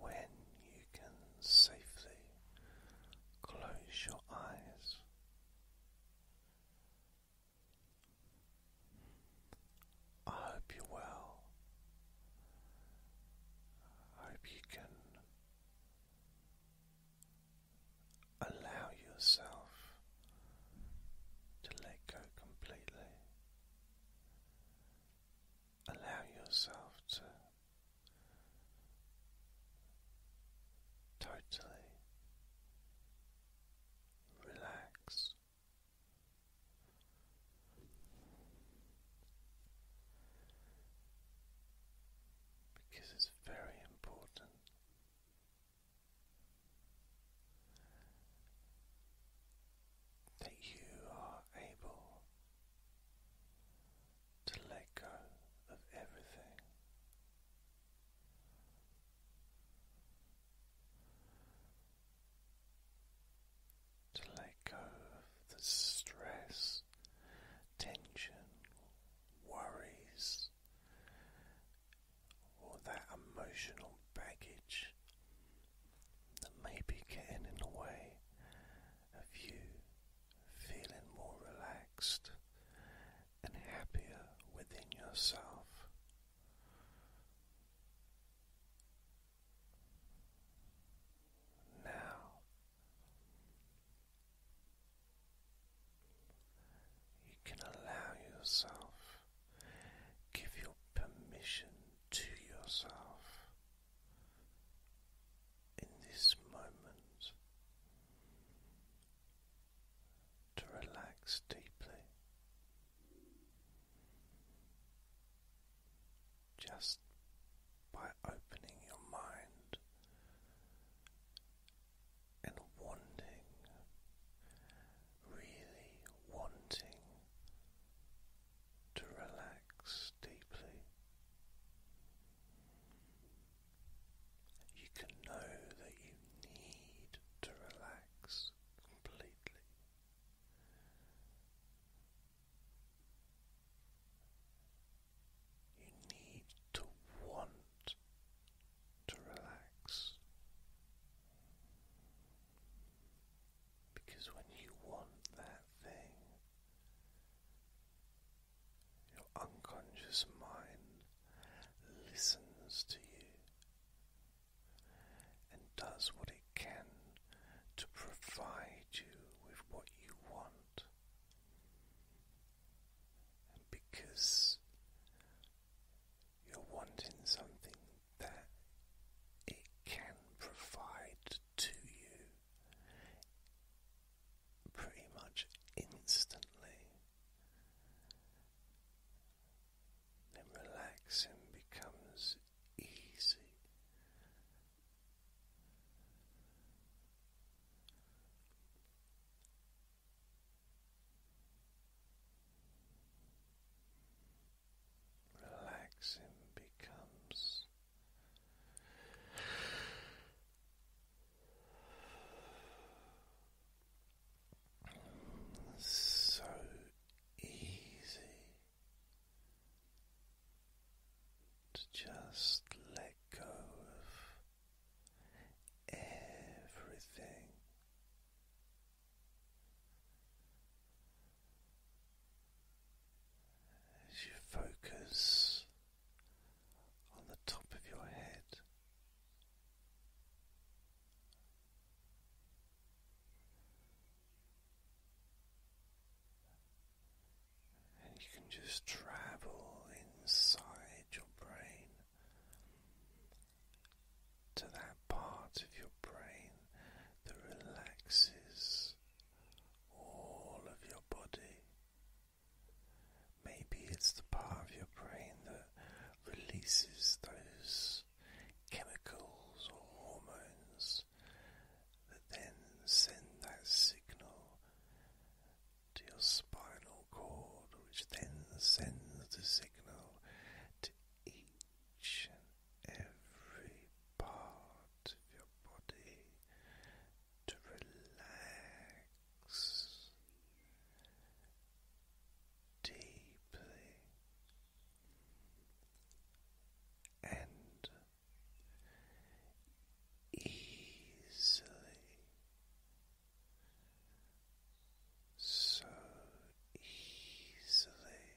when you can safely close your eyes. I hope you're hope you can allow yourself to let go completely allow yourself to totally relax. Because it's very important that you are able to let go of everything. To let go of the stress, tension, worries, or that emotional baggage that may be getting in the way of you feeling more relaxed and happier within yourself. Now you can allow yourself, give your permission to yourself in this moment to relax deeply. Just by opening your mind and wanting, really wanting to relax deeply. You can know that you need to relax completely. You need to want to relax. Because when you want that thing, your unconscious mind listens to you and does what it can to provide you with what you want. because you're wanting something that it can provide to you pretty much instantly, then relaxing becomes easy relaxing becomes so easy to just let go of everything. As you focus on the top of your head, and you can just travel inside your brain to that part of your brain that relaxes all of your body. Maybe it's the part of your brain that releases those chemicals or hormones that then send that signal to your spinal cord, which then sends the signal to each every part of your body to relax deeply and easily, so easily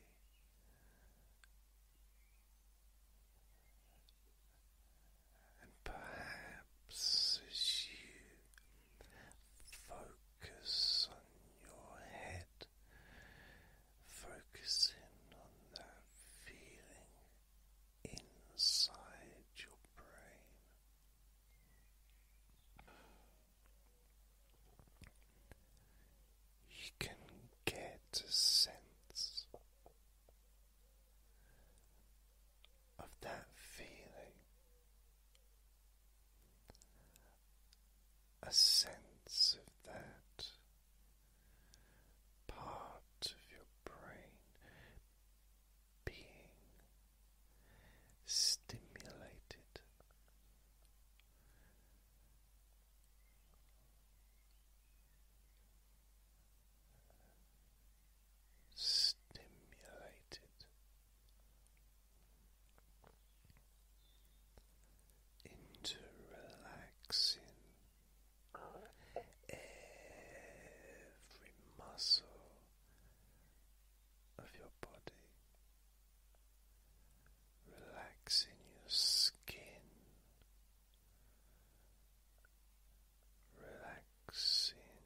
and perhaps as you focus on your head, focusing on that feeling inside your brain, you can get a sense of that feeling, a sense of that part of your brain being stimulated stimulated into relaxing every muscle of your body, relaxing your skin relaxing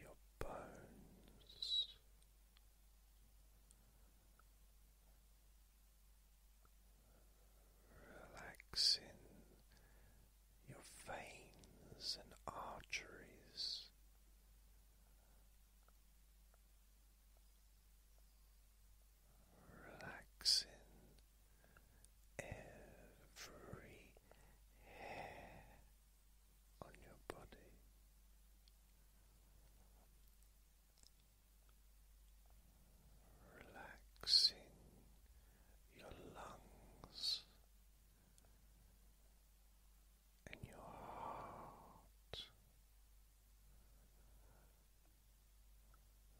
your bones. Relaxing your veins and arteries, relaxing every hair on your body. Relaxing your lungs and your heart,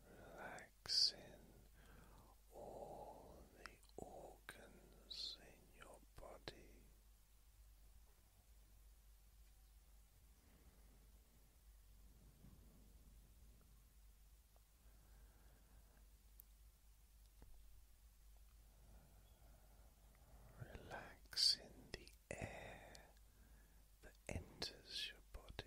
relaxing all the organs in your body. Relaxing the air that enters your body.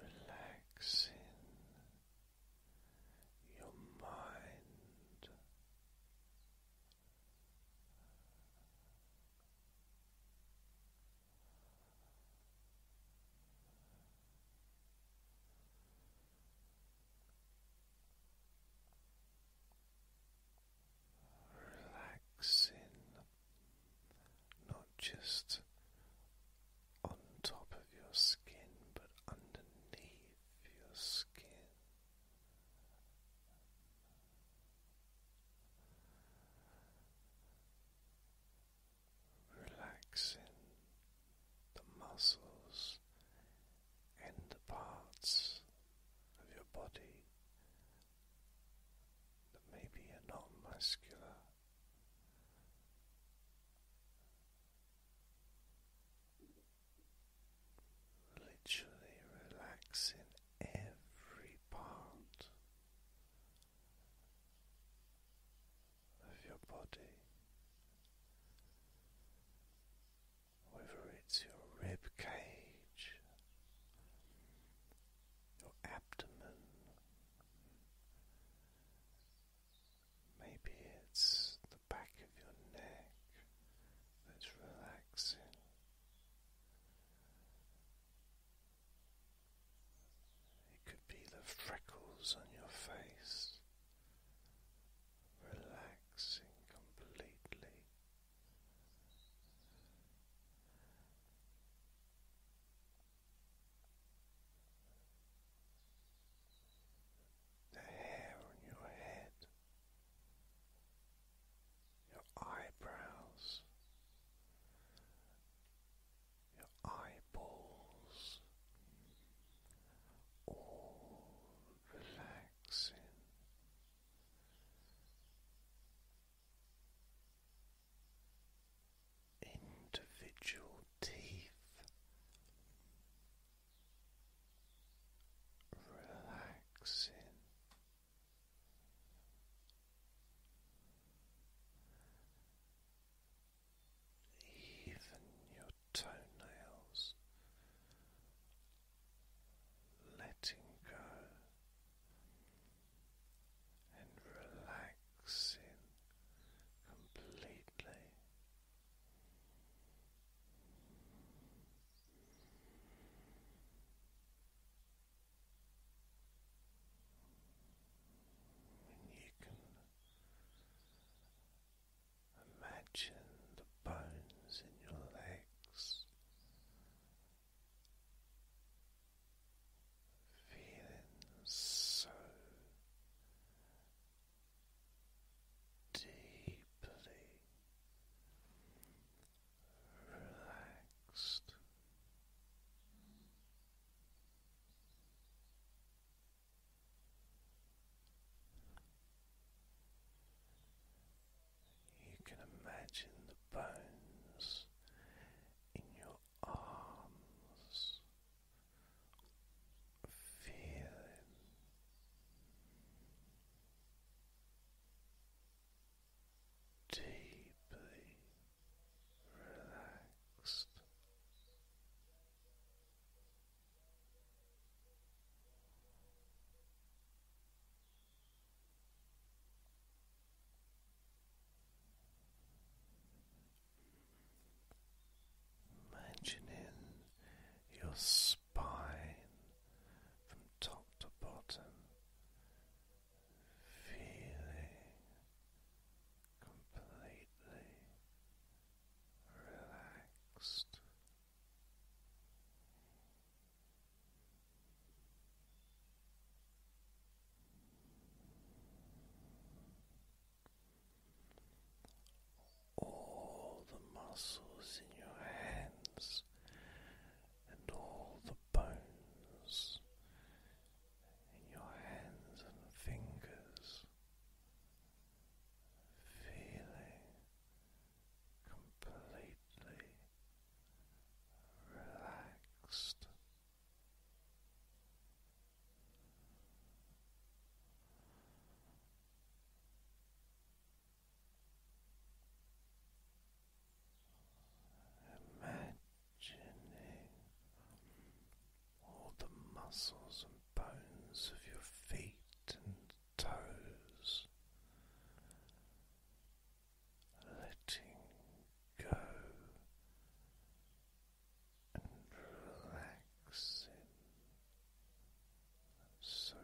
Relaxing your mind, Relaxing not just on top of your skin but underneath your skin relaxing the muscles and the parts of your body that maybe are not muscular. Literally relaxing every part of your body, whether it's your rib cage, your abdomen, maybe it's the back of your neck that's relaxing. It could be the freckles on your face, relaxing completely. The hair on your head, your eyebrows, your eyeballs, all relaxing. Individual teeth relaxing, even your toenails, letting go and relaxing completely. And you can Imagine the bones in your legs. Feeling so deeply relaxed. You can imagine the bones in your arms feeling deeply relaxed. Imagining your spine from top to bottom, feeling completely relaxed. All the muscles in your hands and all the bones in your hands and fingers feeling completely relaxed. Imagining all the muscles and bones of your feet and toes, letting go and relaxing so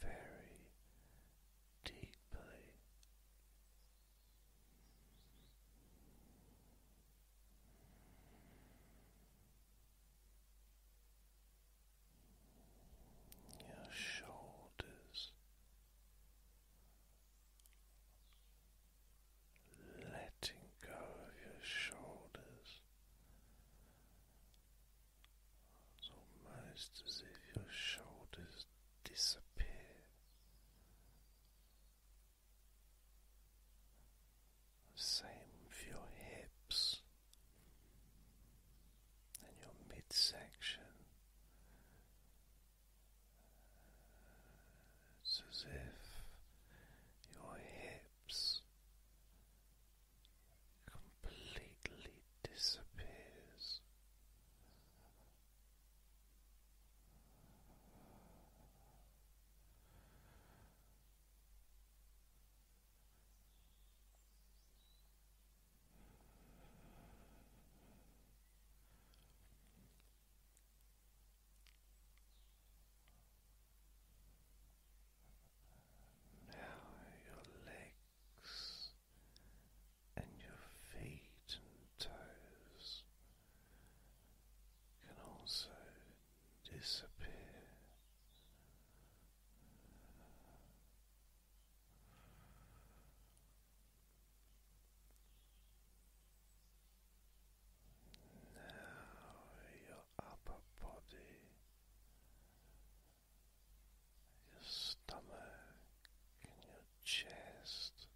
very deeply your shoulders, letting go of your shoulders. almost as if your shoulders disappear. Same with your hips and your midsection. It's as if your hips completely disappears. Now your legs and your feet and toes can also disappear. Now your upper body, your stomach, and your chest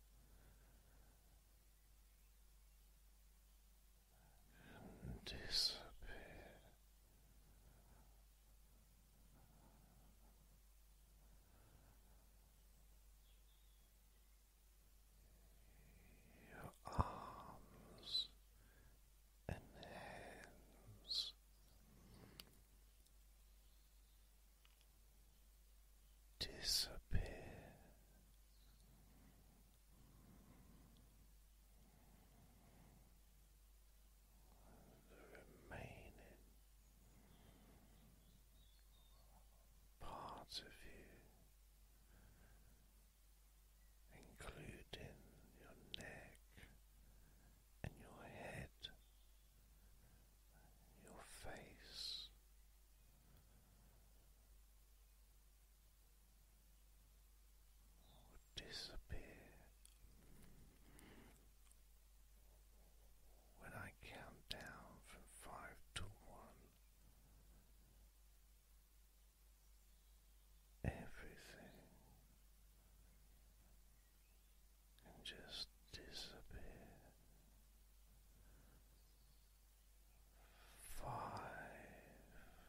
your arms and hands disappear the remaining parts of you, including your neck and your head, your face disappear when I count down from five to one. Everything can just disappear. Five